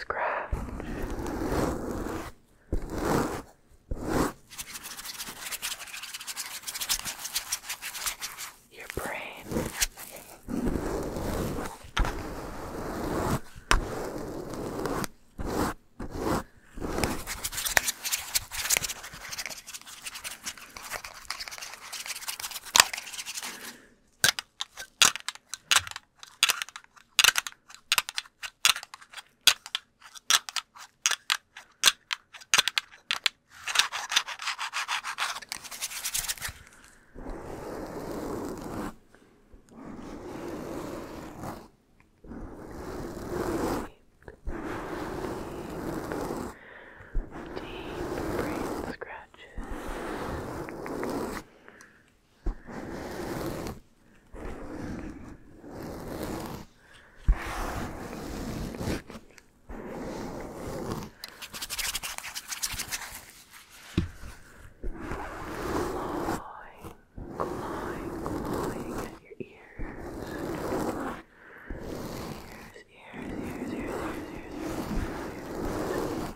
scratch your brain. Deep, deep, deep brain scratch scratches. Clawing, clawing, clawing at your ears. Ears, ears, ears, ears, ears, ears, ears, ears, ears, ears.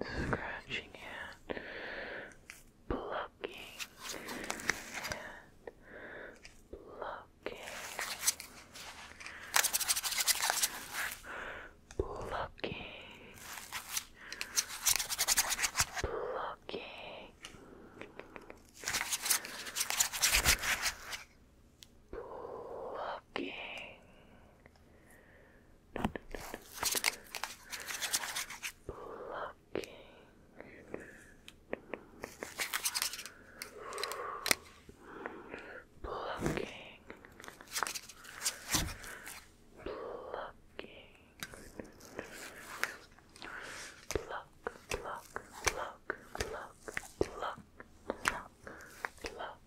scratching and plucking and plucking, plucking, plucking. Plucking, talking. No, no, no, no. Plucking. Plucking. Plucking. Pluck, pluck, pluck, pluck,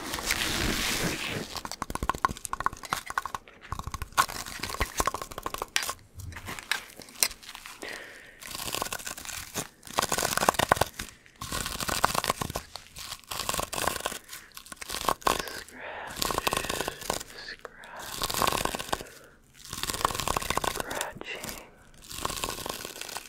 Scratch, scratching,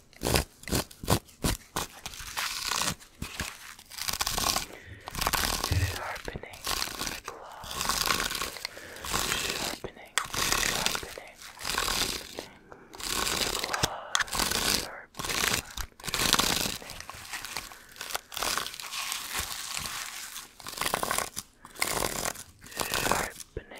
Sharpening the gloves. Sharpening, sharpening, sharpening the gloves. Sharpening, sharpening. Sharpening, sharpening,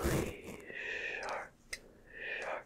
Thoroughly sharp, sharp,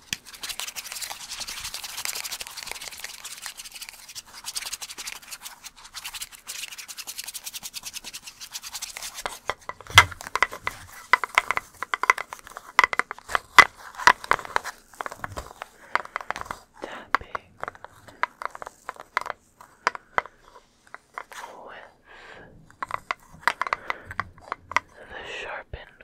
Tapping with the sharpened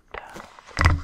laptop. Uh, flip.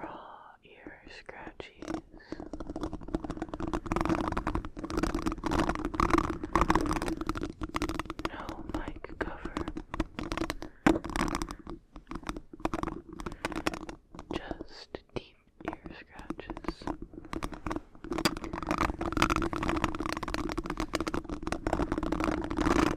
raw ear scratchies. No mic cover. Just deep ear scratches.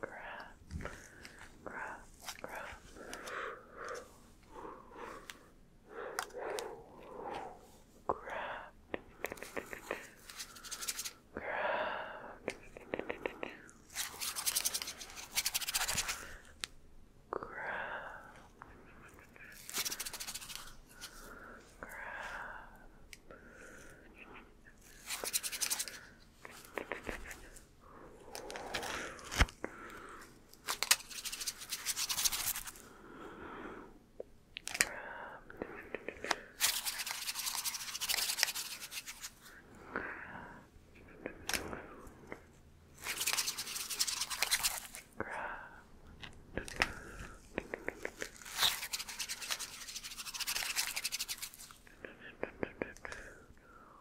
grab, grab, grab. Grab. Grab. Grab. Grab. Grab.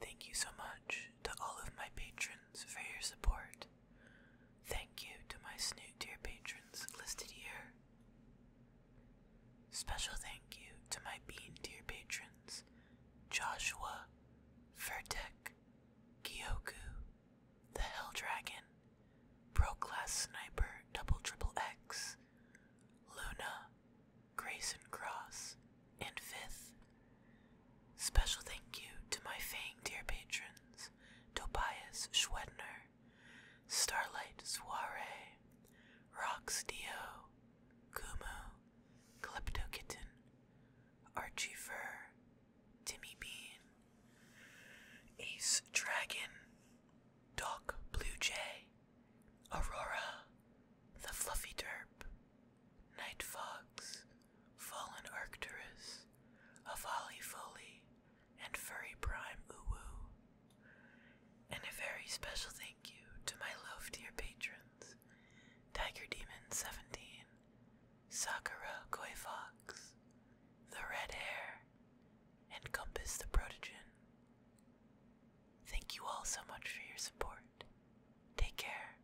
Thank you so much to all of my patrons for your support. Thank you to my Snoot dear patrons listed here. Special thank you to my Bean dear patrons Joshua, Vertek, Kyoku, the Hell Dragon, Pro Class Sniper Double Triple X, Luna, Grayson Cross, and fifth. Special thank you to my Fang dear patrons, Tobias Schwedner, Starlight Soiree, Rox Dio, Kumu, Klepto Kitten, Archie Fur, Timmy Bean, Ace Dragon, Doc Blue Jay, Aurora, the Fluffy Derp, Night Fox, Fallen Arcturus, Avali Foley, and Furry Prime Uwu. And a very special thank you to my love dear patrons, Tiger Demon 17, Sakura Koi Fox, the red hair, and Compass the Protogen. Thank you all so much for your support. Take care.